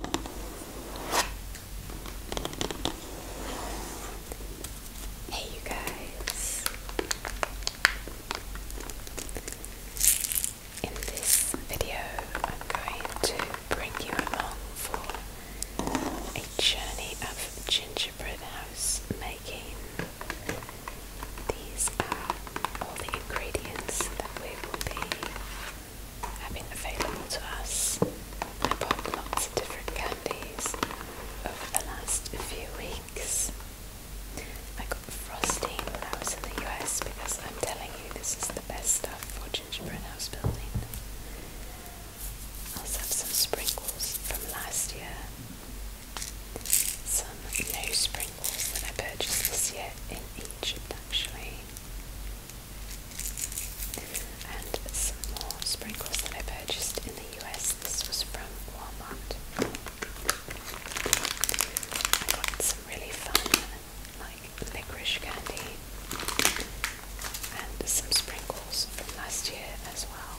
Hey, you guys. In this video, I'm going to bring you along for a journey of gingerbread house making. These are all the ingredients that we will be have been available to us. I bought lots of different candies over the last few weeks. I got frosting when I was in the US because I'm telling you this is the best stuff for gingerbread house building. I also have some sprinkles from last year. Some new sprinkles that I purchased this year in Egypt actually. And some more sprinkles that I purchased in the US. This was from Walmart. I got some really fun, like licorice candy, and some sprinkles from last year as well.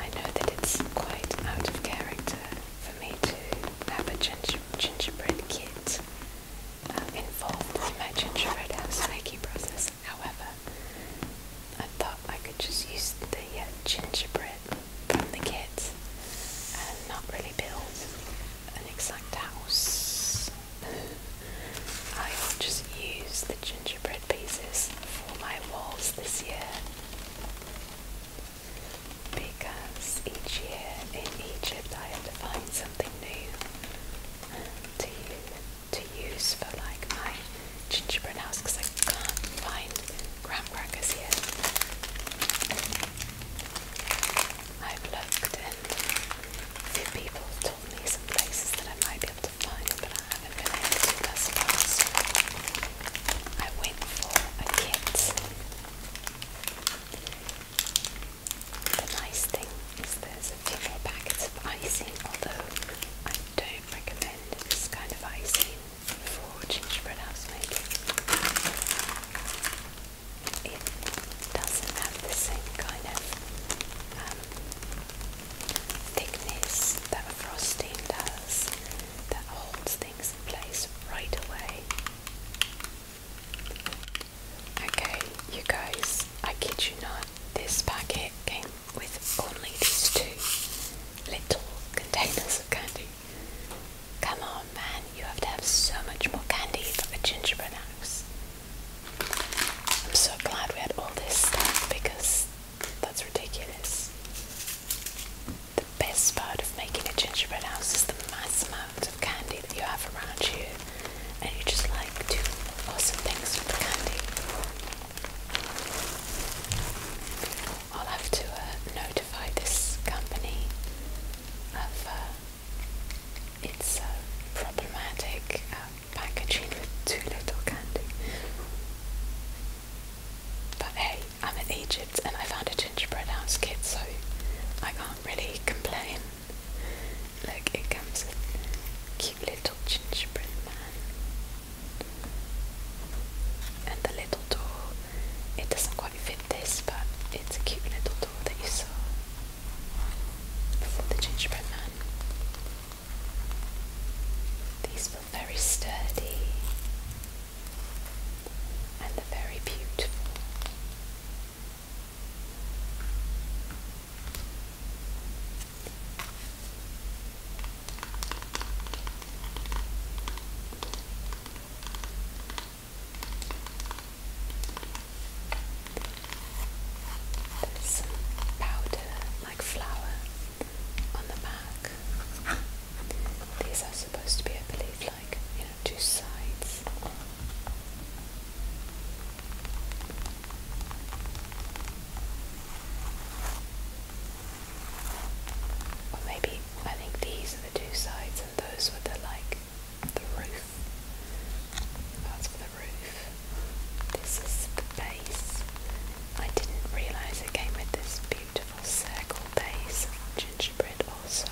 I know that it's quite out of character for me to have a gingerbread kit um, involved in my gingerbread house making process. However, I thought I could just use the uh, gingerbread from the kit and not really build an exact house. I will just use the gingerbread pieces for my walls this year because each year in Egypt I had to find something new um, to, to use for like my gingerbread house because I can't find graham crackers here. I've looked and a few people told me some places that I might be able to find but I haven't been able to thus far I went for a kit the nice thing is there's a few more packets of icing, although I don't recommend this kind of icing for gingerbread house making. It doesn't have the same kind of um, thickness that frosting does that holds things in place right away. Okay, you guys, I kid you not, this packet came with only these two little containers of candy. Come on, man, you have to have so much more candy for the gingerbread house. I'm so glad we had all this stuff because that's ridiculous. The best part of making a gingerbread house is the mass amount of candy that you have around you, and you just like do awesome things with the candy. I'll have to uh, notify this company of uh, its uh, problematic packaging with too little candy. But hey, I'm in Egypt and I found a gingerbread house kit, so I can't really complain. Look, it comes with cute little gingerbread man. And the little door, it doesn't quite fit this, but it's a cute little door that you saw before the gingerbread man. These feel very sturdy and the very beautiful. There's powder like flour on the back. These are supposed to be, I believe, like you know two sides. Or maybe I think these are the two sides and those were the like the roof. That's for the roof. This is the base. I didn't realise it came with this beautiful circle base gingerbread also.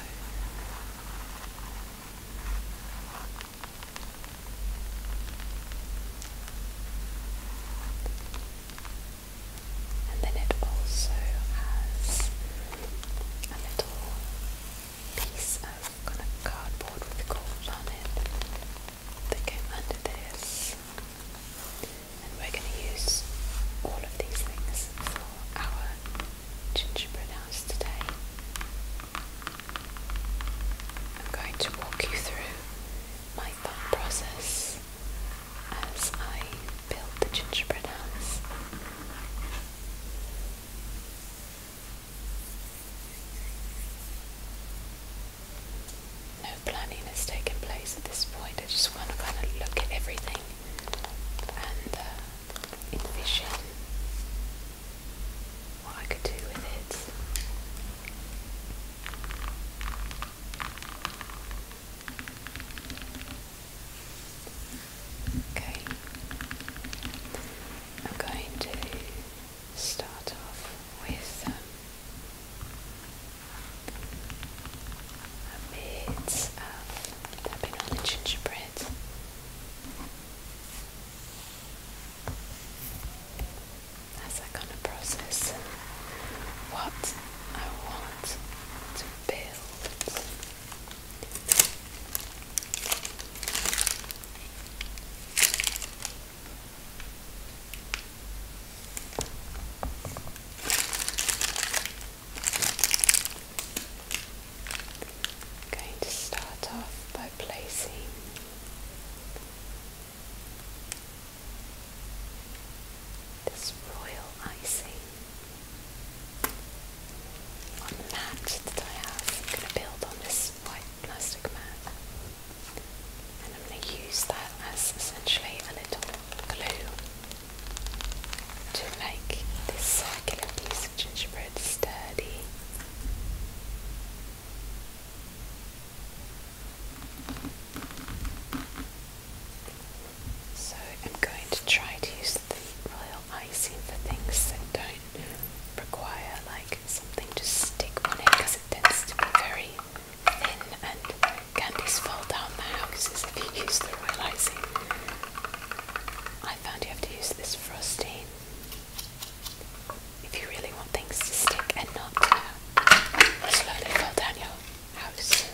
And then it also has a little piece of kind of cardboard with gold on it that came under this. And we're going to use all of these things for our gingerbread house today. I'm going to walk you through my thought process as I build the gingerbread house. No planning has taken place at this point. I just want to kind of look at everything and uh, envision what I could do with it. Okay, I'm going to start off with um, bits of um, tapping on the gingerbread. As I kind of process what I want to build. I'm going to start off by placing this royal icing on the mat that I have. I'm going to build on this white plastic mat and I'm going to use that as essentially a little glue to make this circular piece of gingerbread sturdy. So I'm going to try to use royal icing for things that don't require like something to stick on it because it tends to be very thin and candies fall down the houses if you use the royal icing I found you have to use this frosting if you really want things to stick and not to uh, slowly fall down your house.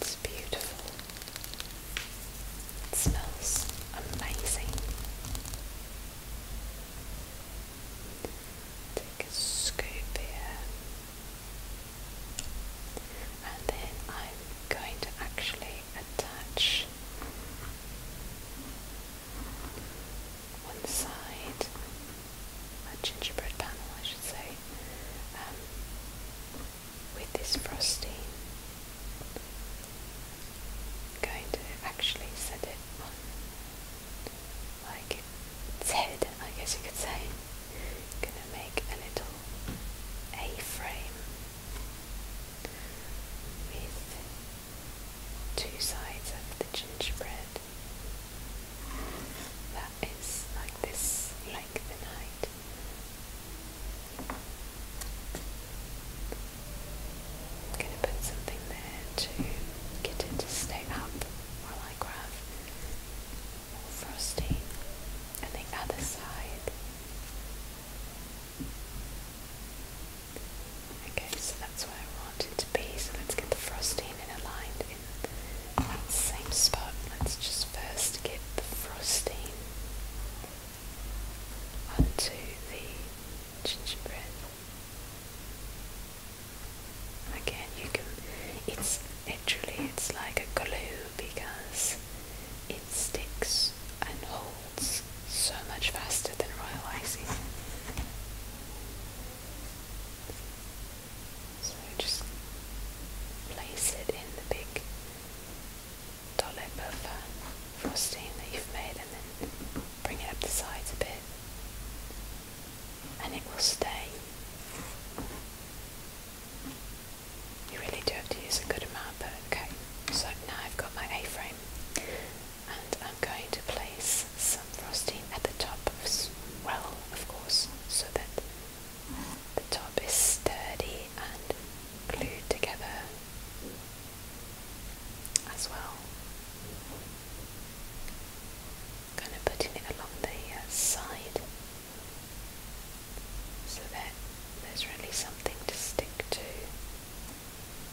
It's beautiful. It smells amazing. Take a scoop here and then I'm going to actually attach one side, a gingerbread panel I should say, um, with this frosting. going to actually set it on like its head, I guess you could say gonna make a little A-frame with two sides of the gingerbread that is like this length and height. gonna put something there to get it to stay up while I grab frosting and the other side. Okay, so that's where I want it to be. So let's get the frosting in aligned in that same spot. Let's just first get the frosting onto the gingerbread. Again, you can. It's Actually, it's like a glue because it sticks and holds so much faster than royal icing. So just place it in the big dollop of uh, frosting that you've made and then bring it up the sides a bit and it will stay. You really do have to use a good amount, but okay. So now I've got my A-frame, and I'm going to place some frosting at the top as well, of course, so that the top is sturdy and glued together as well. Kind of putting it along the uh, side so that there's really something to stick to.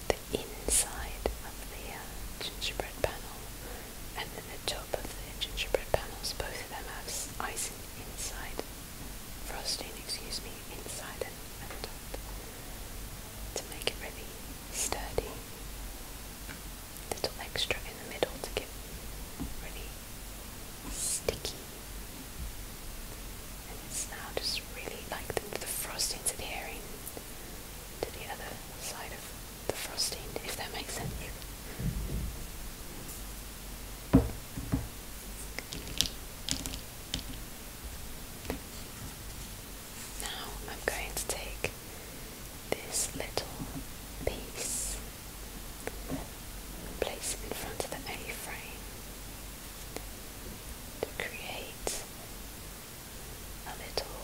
The inside of the uh, gingerbread panel and then the top of the gingerbread panels, both of them have icing inside, frosting, excuse me, inside and, and top to make it really sturdy little extra in the middle to get really sticky. And it's now just really like the, frosting to the to the other side of the frosting, if that makes sense. Now I'm going to take this little piece Place it in front of the A-frame to create a little,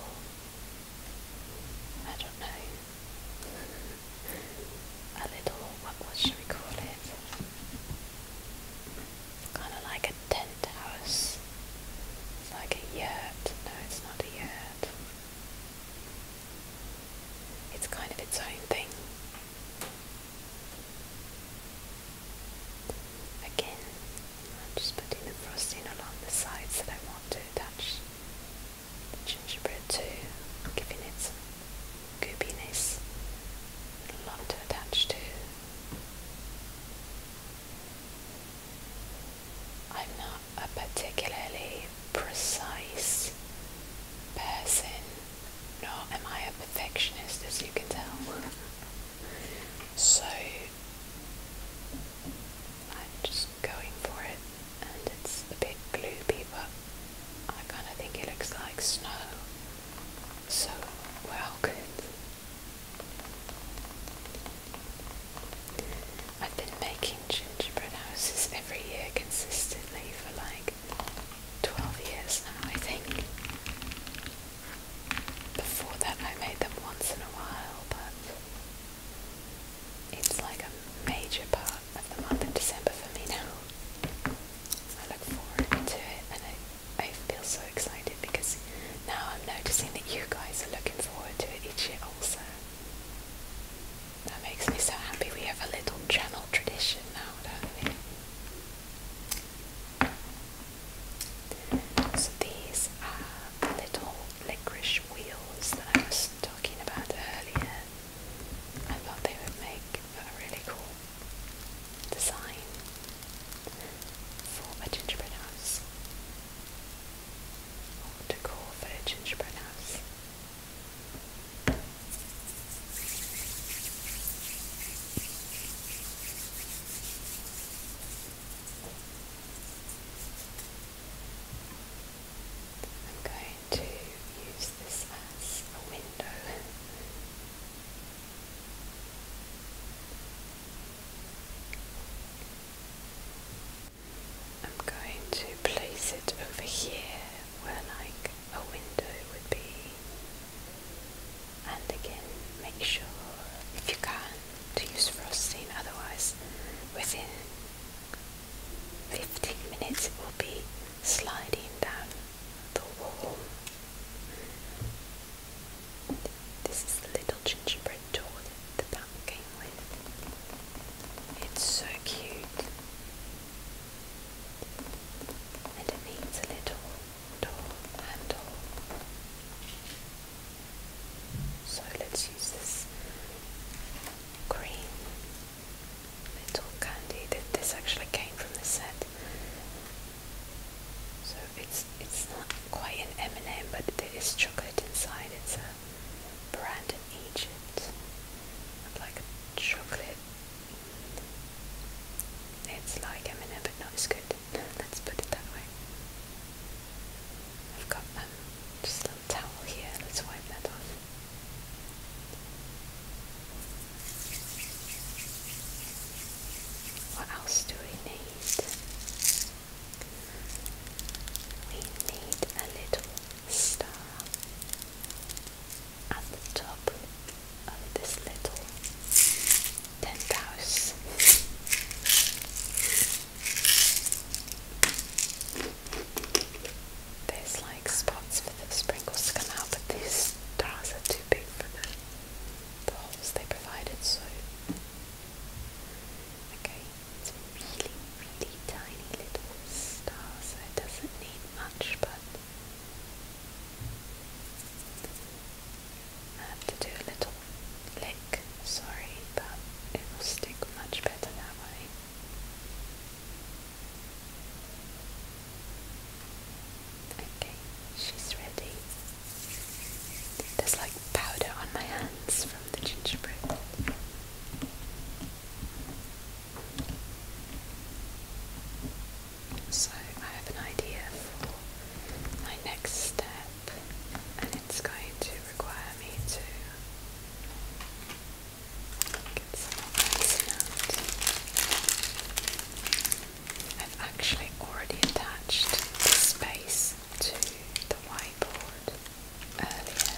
I don't know, a little, what, what should we call it? Kind of like a tent house. It's like a yurt. No, it's not a yurt. It's kind of its own thing. Again, I'm just putting the frosting along the sides that I want to attach the gingerbread to, giving it some goopiness. A lot to attach to. I'm not a particularly precise person, nor am I a perfectionist, as you can tell. So i just going for it, and it's a bit gloopy, but I kind of think it looks like snow. So we I've been making gingerbread houses every year consistently for like 12 years now, I think. Before that, I made them once in a while, but it's like a major part of the month of December for me now. I look forward to it and I, I feel so excited because now I'm noticing that you guys are looking forward to it each year also. That makes me so happy we have a little channel tradition now, don't we? these are the little licorice wheels that I was talking about earlier. I thought they would make a really cool design for a gingerbread house. Or decor for a gingerbread house. I'm going to use this as a window. I'm going to place it over here where like a window would be. And again, make sure if you can to use frosting, otherwise within 15 minutes it will be sliding down the wall. This is the little gingerbread door that the bat came with. It's so cute. And it needs a little door handle. So let's use this green little candy. This actually came from the set. So it's it's not quite an M&M, but there is chocolate inside. It's a brand in i like chocolate. It's like M&M but not as good. Let's put it that way. I've got um, just a little towel here. Let's wipe that off. What else do we need? We need a little star at the top of this little tent house. There's like spots for the sprinkles come out, but these stars are too big for the holes they provided, so. Okay, it's really really tiny little star, it doesn't need much, but I have to do a little lick, sorry, but it will stick much better that way. Okay, she's ready. There's like powder on my hands from the gingerbread. So I have an idea for my next step and it's going to require me to get some of this out. I've actually already attached the space to the whiteboard earlier.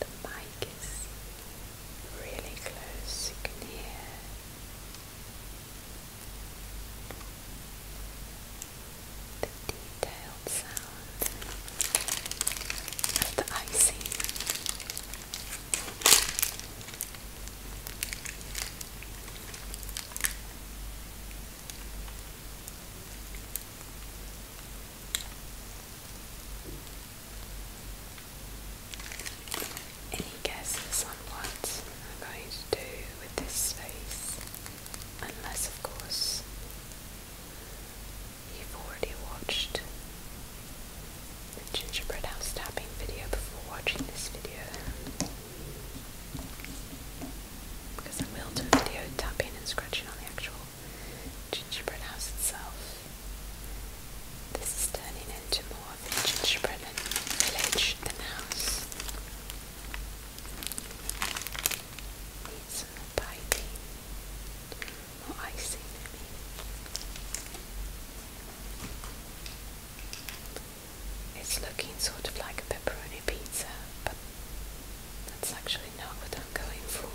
The mic is really close, you can hear the detailed sound of the icing. Any guesses on what I'm going to do with this space? Unless, of course, you've already watched the gingerbread house tapping video before watching this video because I will do a video tapping and scratching on the actual gingerbread house itself. This is turning into more of a gingerbread village than a house. Need some piping, more icing It's looking sort of like a pepperoni pizza, but that's actually not what I'm going for.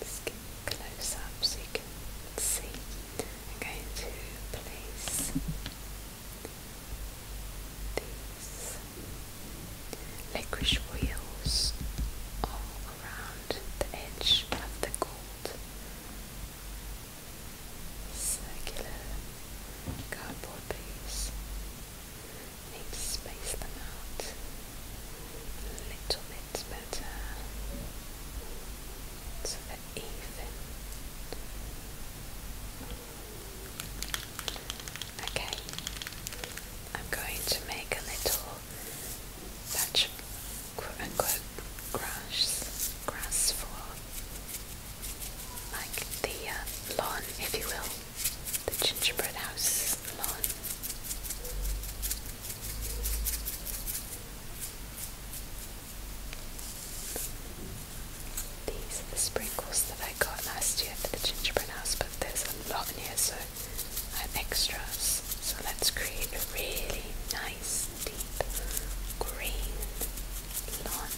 Let's get close up so you can see. I'm going to place these licorice wheels all around the edge of the gold. Circular cardboard piece. Need to space them out a little bit better so they even. Okay, I'm going to make a little patch quote unquote grass, grass for like the uh, lawn, if you will, the gingerbread house lawn. These are the sprinkles that I got last year for the gingerbread house, but there's a lot in here, so extras. So let's create a really nice deep green lawn.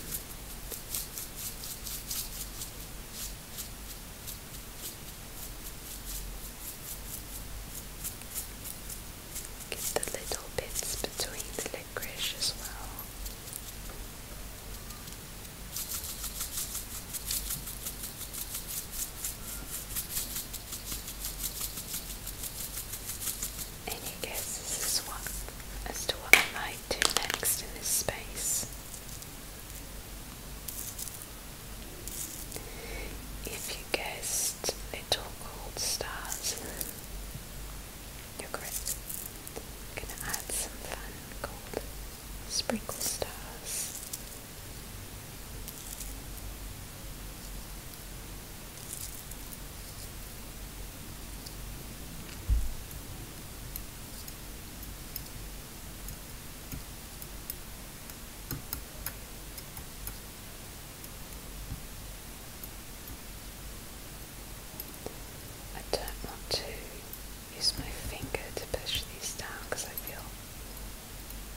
Get the little bits between the licorice as well. Any guesses as, what, as to what I might do next in this space? If you guessed little gold stars, you're correct. going to add some fun gold sprinkle stars I don't want to use my finger to push these down because I feel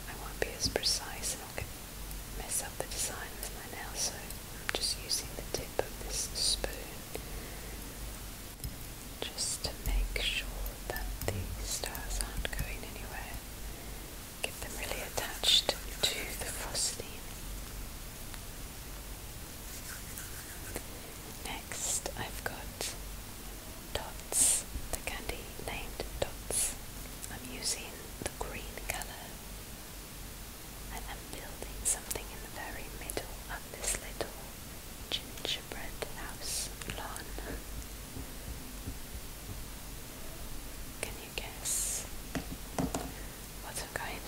I won't be as precise and I'll get mess up the design with my nail, so I'm just using the tip of this spoon just to make sure that the stars aren't going anywhere. Get them really attached to the frosting. Next, I've got dots, the candy named dots. I'm using green color. And I'm building something in the very middle of this little gingerbread house lawn. Can you guess what I'm going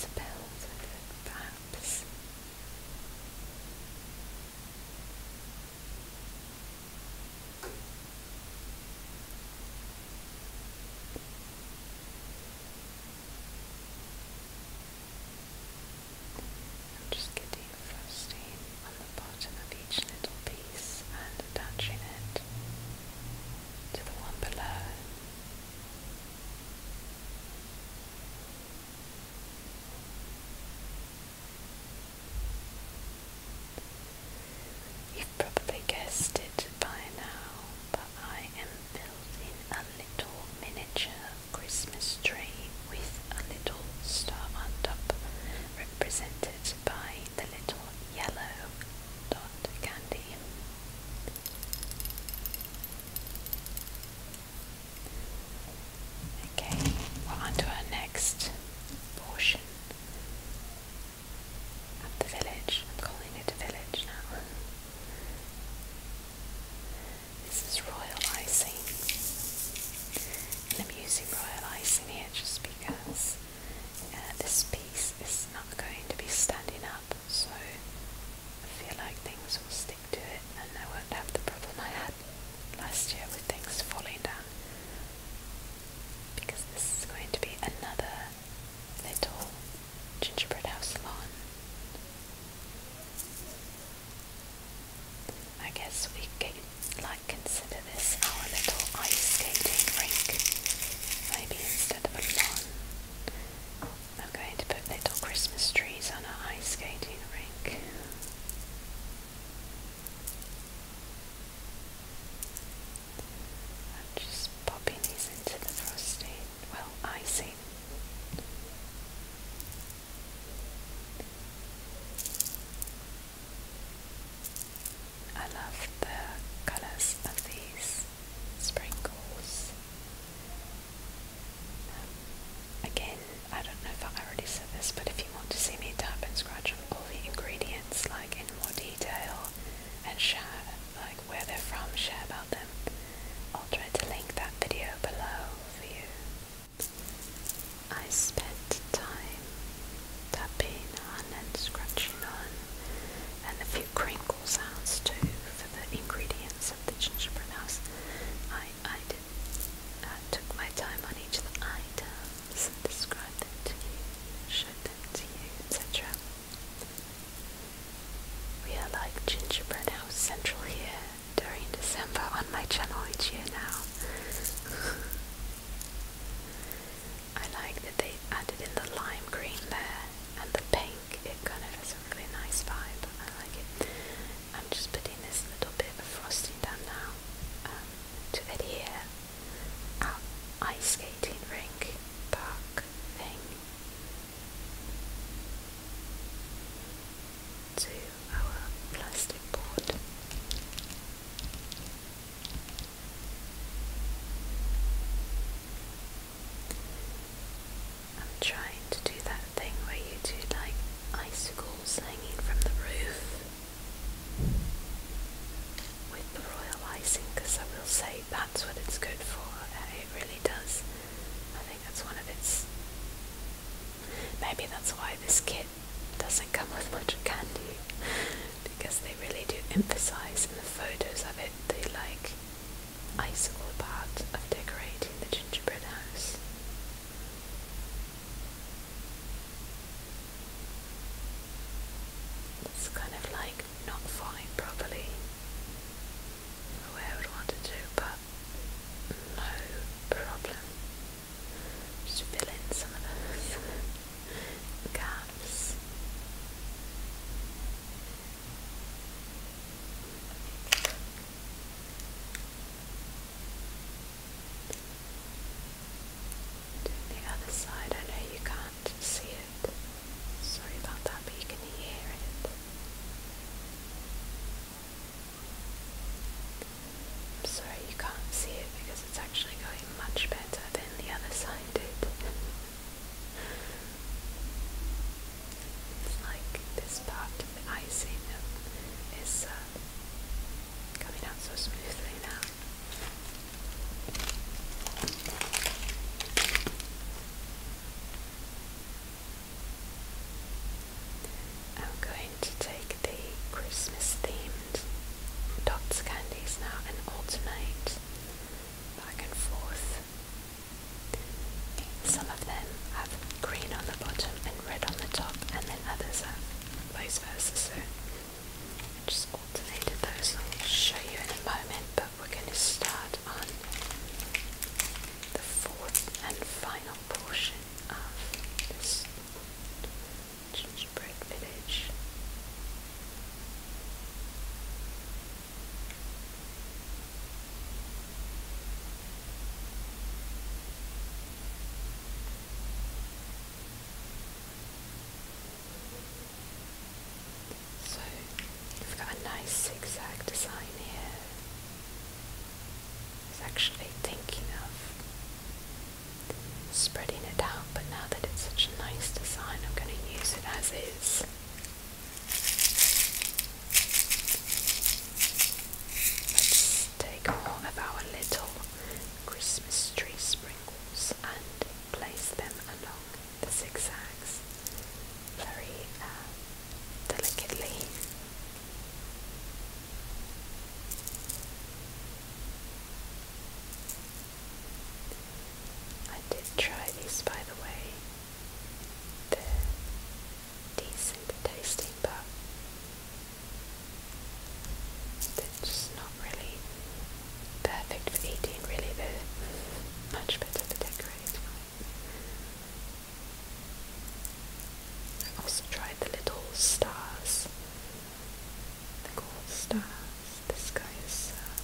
I'm just getting frosting on the bottom of each little piece and attaching it to the one below. You've probably guessed it by now, but I am building a little miniature Christmas tree with a little star on top, represented by the little yellow dot candy. Okay, we're our next portion the village. I'm calling it a village now. This is royal icing. And I'm using royal icing here just because uh, this piece is not going to be standing up, so I feel like things will stick to it and I won't have the problem I had last year with things falling down because this is going to be another little gingerbread house salon. I guess we could like consider this our little ice skating rink, maybe instead of a lawn. I'm going to put little Christmas trees on our ice skating rink. I'm just popping these into the frosting, well, icing. I love the colours of these sprinkles. Um, again, I don't know if I already said this, but if you want to see me tap and scratch on all the ingredients like in more detail, and share like where they're from, share about them. I'll try to link that video below for you. I spent time tapping on and scratching on and a few crinkle sounds too for the ingredients of the gingerbread house. I, I did I took my time on each of the so describe to you, show to you, etc. We are like Gingerbread House Central here during December on my channel each year now. I like that they added in the lime green there and the pink. It kind of has a really nice vibe. I like it. I'm just putting this little bit of frosting down now um, to to here at ice skating rink park thing. To our plastic board. I'm trying to do that thing where you do like icicles hanging from the roof with the royal icing because I will say that's what it's good for. Uh, it really does. I think that's one of its. Maybe that's why this kit doesn't come with much candy because they really do emphasize in the photos of it the like icicle part of decorating the gingerbread house. It's kind of like not falling properly. The way I would want it to, but no problem. Just fill in some of those gaps. Doing the other side, I know you can't see it. Sorry about that, but you can hear it. I'm sorry you can't see it because it's actually going much better than the other side did. it's like this part the icing is uh, coming out so smoothly now. I'm going to take the Christmas themed dots candies now and alternate back and forth. Some of them have green on the bottom and red on the top, and then others have vice versa just alternated those. I'll show you in a moment, but we're going to start on the fourth and final portion of this gingerbread village. So we've got a nice zigzag design here. It's actually thinking of spreading it out, but now that it's such a nice design, I'm going to use it as is. Let's take more of our little Christmas tree sprinkles and place them along the zigzags very uh, delicately. I did try these by the way. They're decent tasting but they're just not really perfect for eating, really, they're much better for decorating. I also tried the little stars, the gold stars. This guy is. Uh,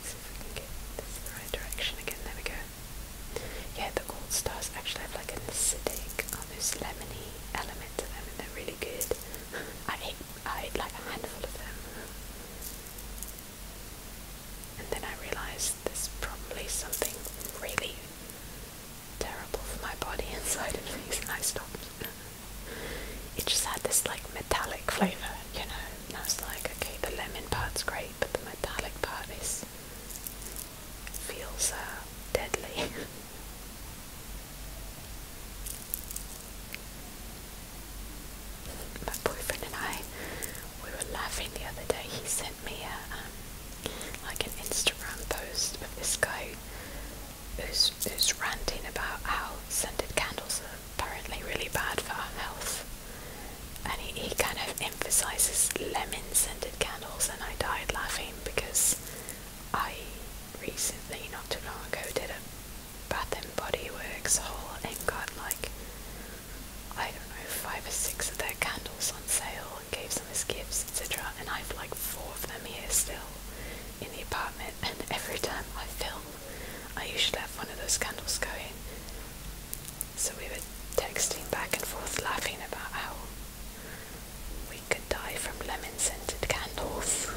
let's see if we can get this in the right direction again. There we go. Yeah, the gold stars actually have like an acidic, almost oh, lemony element to them, and they're really good. I ate, like a handful of them. And then I realised there's probably something really terrible for my body inside of these and I stopped. It just had this like metallic flavour, you know, and like, okay, the lemon part's great, but the metallic part is feels uh, deadly. My boyfriend and I, we were laughing the other day. He sent me a um, like an Instagram post of this guy who's who's ranting about how scented candles are apparently really bad for our health, and he, he kind of emphasizes lemon scented candles, and I died laughing because I recently, not too long ago, did a Bath and Body Works haul and got like, I don't know, five or six of their candles on sale and gave some as gifts, etc. And I've like four of them here still in the apartment. And every time I film, I usually have one of those candles going. So we were texting back and forth, laughing about how we could die from lemon scented candles.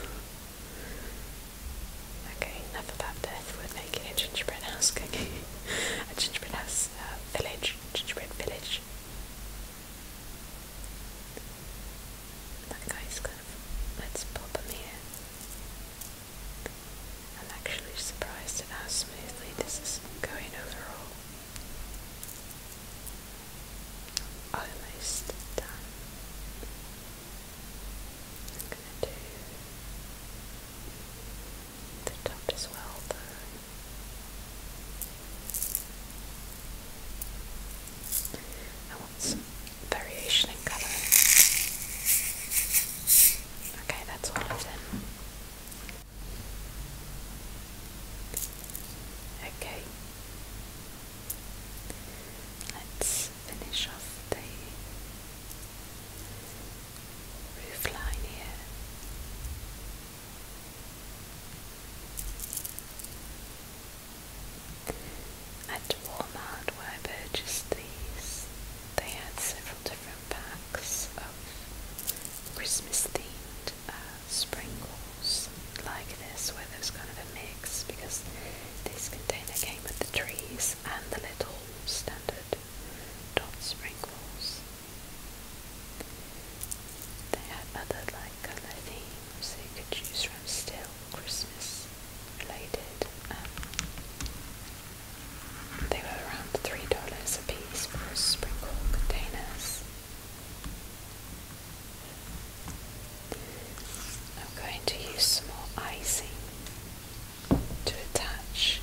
Okay, enough about death. We're making gingerbread house cookie. a gingerbread house uh, village. Gingerbread village. That guy's kind Let's pop him here. I'm actually surprised at how smoothly this is going overall almost done. I'm gonna do the top as well I want some variation in colour. Okay, that's all of them. Okay, Let's finish off the roof here. At Walmart where I purchased these, they had several different packs of Christmas themed uh, sprinkles like this where there's kind of a mix because this container came with the trees and the little standard dot sprinkles. They had other like colour you could choose from still Christmas related. Um, they were around $3 a piece for sprinkle containers. I'm going to use some more icing to attach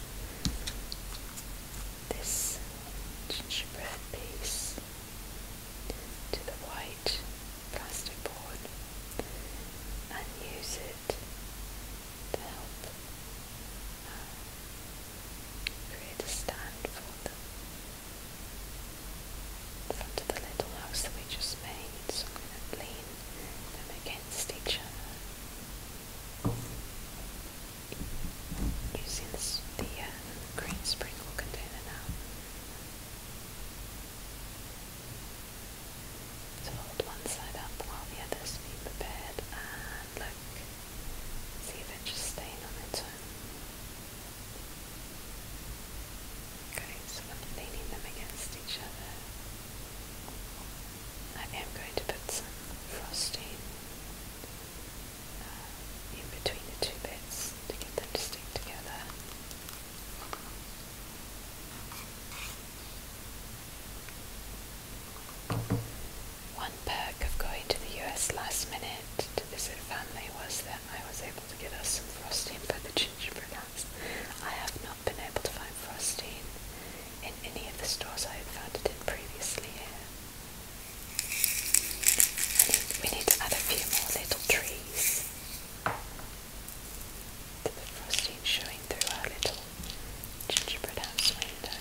this gingerbread piece to the white plastic board and use it to help uh, create a stand for them in front of the little house that we just made, so I'm going to lean them against each other using the uh, green sprinkle container now. So hold one side up while the other's being prepared and look, see if it's just staying on its own. Okay, so I'm leaning them against each other. I am going to put some frosting uh, in between the two bits to get them to stick together. One perk of going to the US last minute to visit family was that I was able to get us some frosting for the gingerbread house. I have not been able to find frosting in any of the stores I had found it in previously we need to add a few more little trees to the frosting showing through our little gingerbread house window.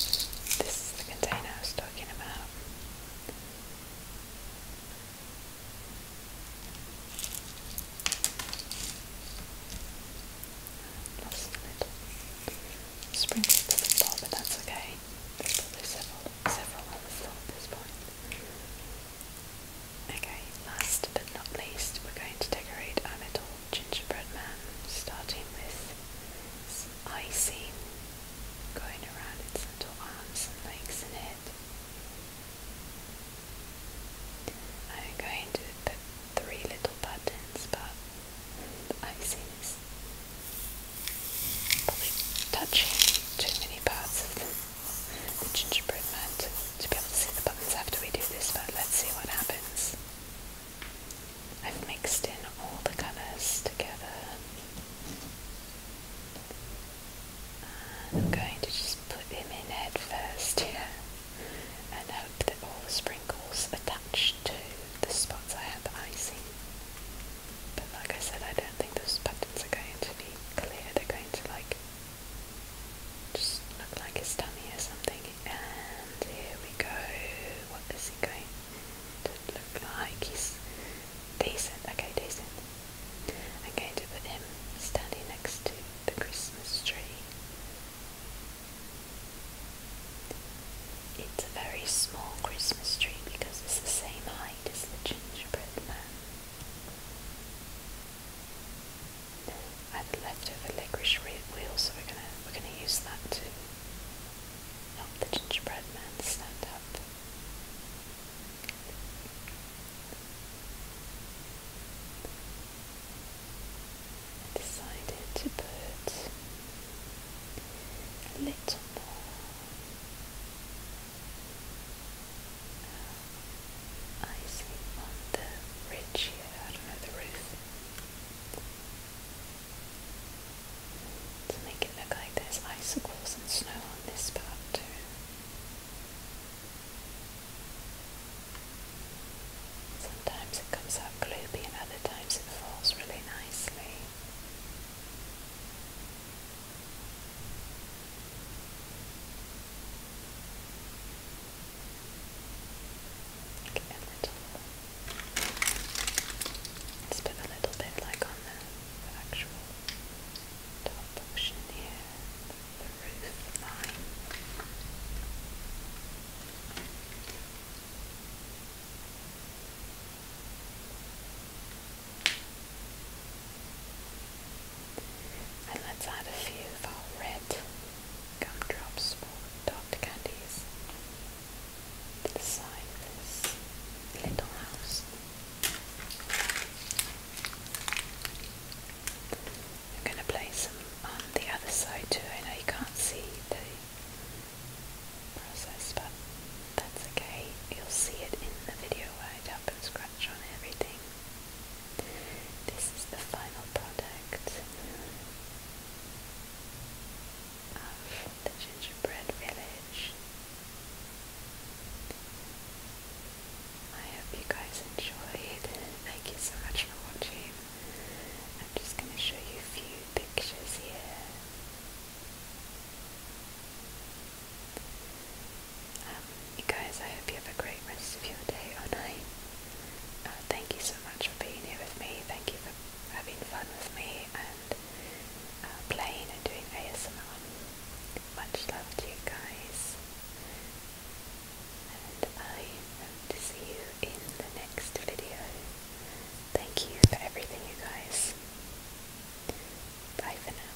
This is the container I was talking about. Lost a little sprinkles to the floor, but that's okay. several, several on the at this point. Okay, last but not least, we're going to decorate our little gingerbread man, starting with icing going around its little arms and legs and head. I'm going to put three little buttons, but icing is probably touching too many parts the gingerbread man to, to be able to see the buttons after we do this, but let's see what happens. I've mixed in all the colors together. And I'm going to just put him in head first here and hope that all the sprinkles attach to the spots I have icing. But like I said, I don't think those buttons are going to be clear, they're going to like just look like his tummy or something. And here we go. What is he going to look like? He's decent. Okay, decent. I'm going him standing next to the Christmas tree. It's a very small Christmas tree because it's the same height as the gingerbread man. I've left leftover licorice wheel, so we're gonna we're gonna use that to help the gingerbread man stand up. decided to put a little more I sleep on the ridge here, I the roof. To make it look like there's icicles and snow on this part too. Sometimes it comes out gloopy and other times it falls really nicely. Okay, a little. Let's put a little bit like on the, actual top portion here, the roof line. And let's add a few of our red gumdrops for Dr. Candies to the side of this little house. I'm going to place them on the other side too. I know you can't see the process, but that's okay. You'll see it in the video when it happens gradually on everything. This is the final product of the gingerbread village. I hope you guys enjoyed. Thank you so much for watching. I'm just going to show you a few pictures here you um, guys, I hope you have a great rest of your day or night. Uh, thank you so much for being here with me. Thank you for having fun with me and uh, playing and doing ASMR. Much love to you guys. And I hope to see you in the next video. Thank you for everything, you guys. Bye for now.